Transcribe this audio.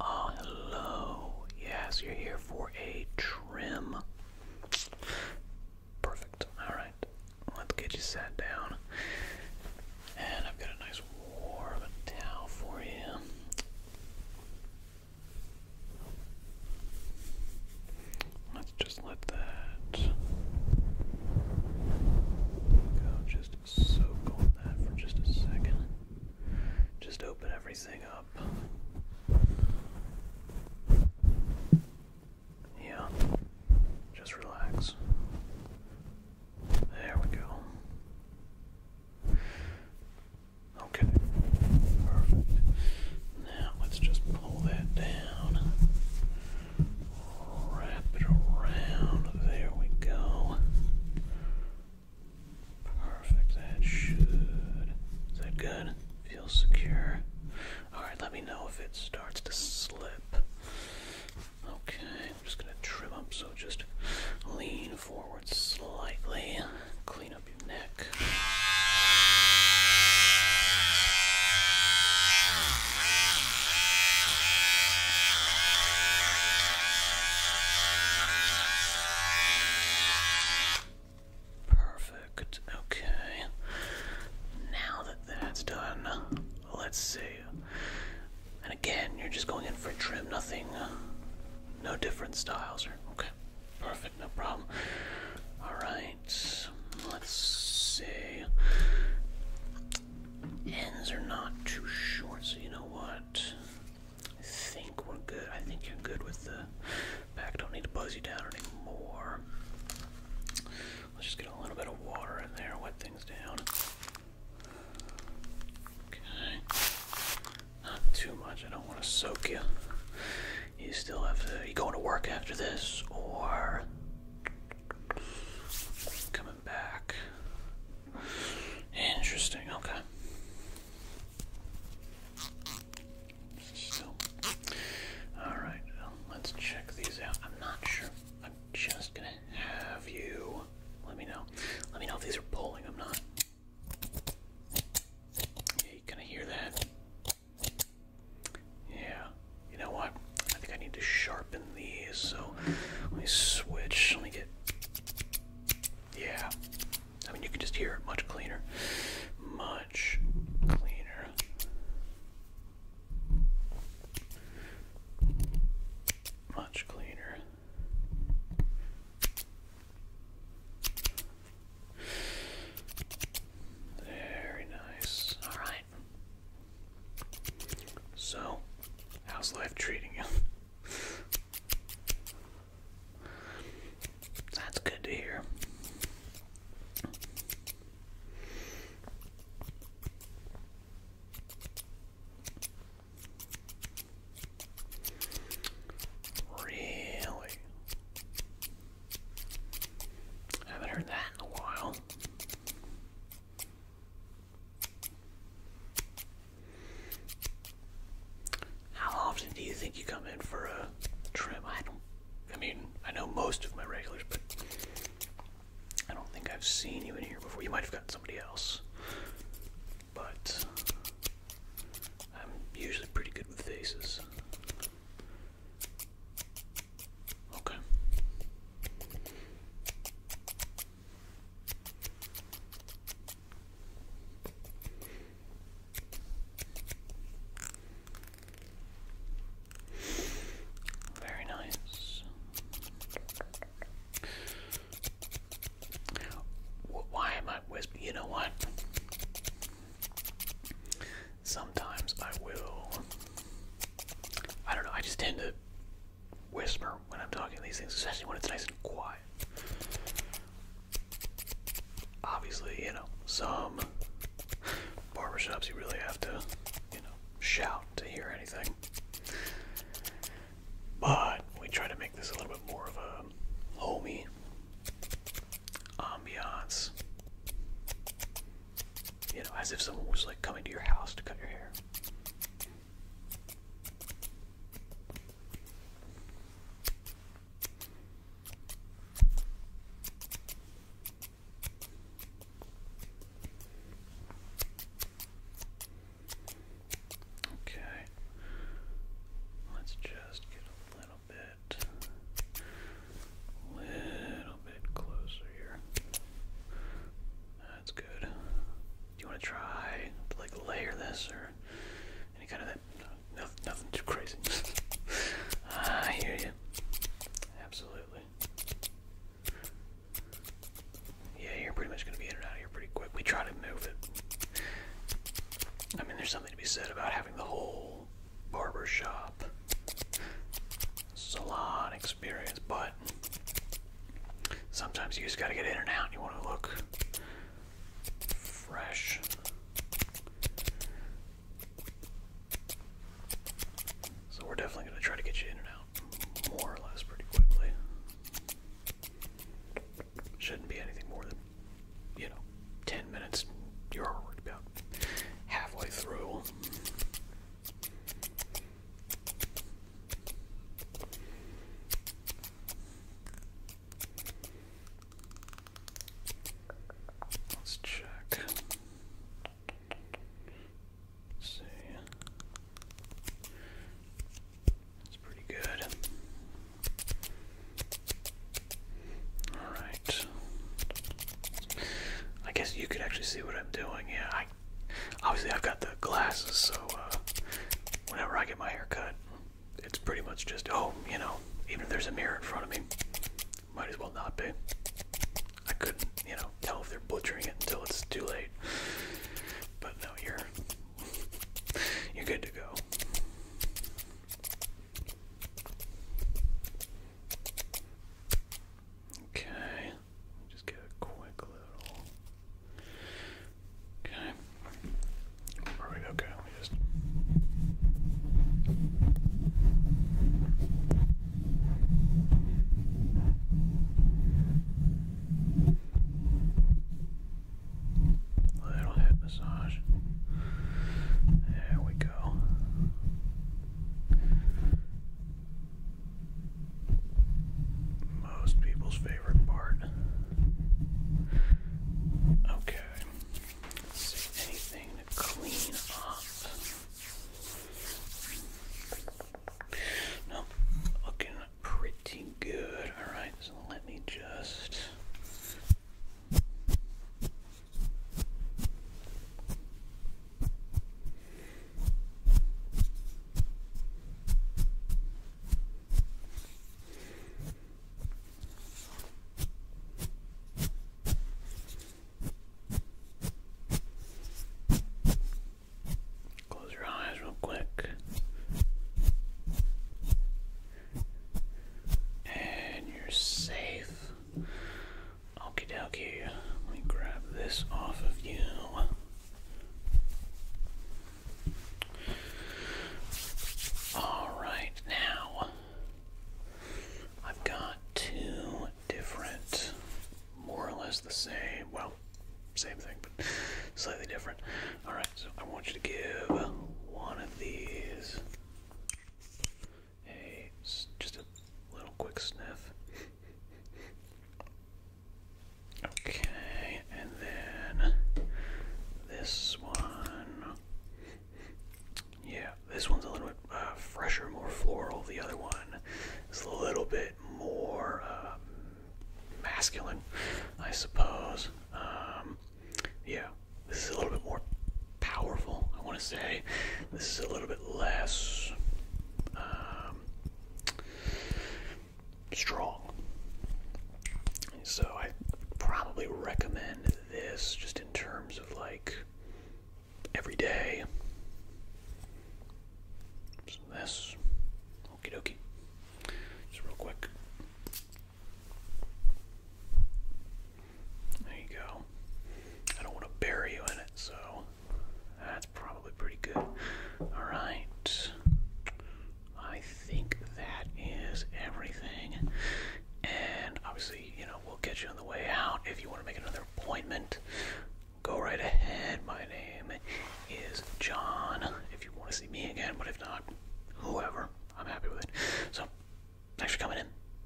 Oh, hello. Yes, you're here for a trim. Perfect. Alright, let's get you sat down. And I've got a nice warm towel for you. Let's just let that go. Just soak that for just a second just open everything up. Yeah, just relax. There we go. Okay, Now let's just pull that down, wrap it around. There we go. Perfect. That should. Is that good? Feels secure. Alright, let me know if it starts to slip. Okay, I'm just going to trim up, so just lean forward slightly. Clean up your neck. Perfect. Okay. Now that that's done, let's see. And again, you're just going in for trim, nothing, uh, no different styles. Or, okay, perfect, no problem. All right, let's see. Ends are not too short, so you know what? I think we're good. I think you're good with the pack. Don't need to buzz you down anymore. Let's just get a little bit of water in there, wet things down. Okay. Not too much. I don't want to soak you. You still have to. you going to work after this or coming back? Interesting, okay. Alright, let's check these out. I'm not sure. I'm just gonna have you let me know. Let me know if these are pulling. I'm not. Yeah, you kind hear that. Yeah. You know what? I think I need to sharpen sharpen these. So let me switch. Let me get. Yeah. I mean, you can just hear it much cleaner. Much cleaner. Much cleaner. Very nice. All right. So, how's life treating you? That's good to hear. Really? I haven't heard that in a while. How often do you think you come in for a trim? I don't. I mean, I know most of my regulars, but I don't think I've seen you in here before. You might have gotten somebody else, but I'm usually pretty good with faces. Okay. Very nice. Why am I whispering? You know what? Sometimes I will. I don't know. I just tend to whisper when I'm talking these things, especially when it's nice and quiet. Obviously, you know, some barbershops you really have to, you know, shout to hear anything. But we try to make this a little bit more of a homey ambiance. You know, as if someone was like coming to your house to cut your hair. Okay, let's just get a little bit, little bit closer here. That's do you want to try like layer this or any kind of that? No, nothing, too crazy. Ah, I hear you. Absolutely. Yeah, you're pretty much gonna be in and out of here pretty quick. We try to move it. I mean, there's something to be said about having the whole barber shop a salon experience, but sometimes you just gotta get in and out. You want to look fresh. So we're definitely going to try to get you in and out more or less pretty quickly. Shouldn't be anything more than, you know, 10 minutes. You're already about halfway through. Let's check. see. That's pretty good. Alright. I guess you could actually see what I'm doing. here obviously I've got the glasses, so uh, whenever I get my hair cut, it's pretty much just, oh, you know, even if there's a mirror in front of me, might as well not be. I couldn't, you know, tell if they're butchering it until it's too late. But no, you're you're good to go. Okay, just get a quick little. Okay, perfect. Okay, just. Little head massage. There we go most people's favorite part. Okay, anything clean up. No, looking pretty good. All right, so let me just. Close your eyes real quick. And you're safe. Okie dokie, let me grab this off of you. Alright, now I've got two different, more or less the same, well, same thing, but slightly different. Alright, so I want you to give one of these Hey, just a little quick sniff. Okay, and then this one. Yeah, this one's a little bit uh, fresher, more floral. The other one is a little bit more um, masculine, I suppose. Um, yeah, this is a little bit more powerful, I want to say. This is a little bit less um, strong. So I probably recommend this just in terms of like every day. So this, okie dokie, just real quick. There you go. I don't want to bury you in it, so that's probably pretty good. Alright. I think that is everything. And obviously, you know, we'll get you on the way out. If you want to make another appointment, go right ahead. My name is John. If you want to see me again, but if not, whoever, I'm happy with it. So, thanks for coming in.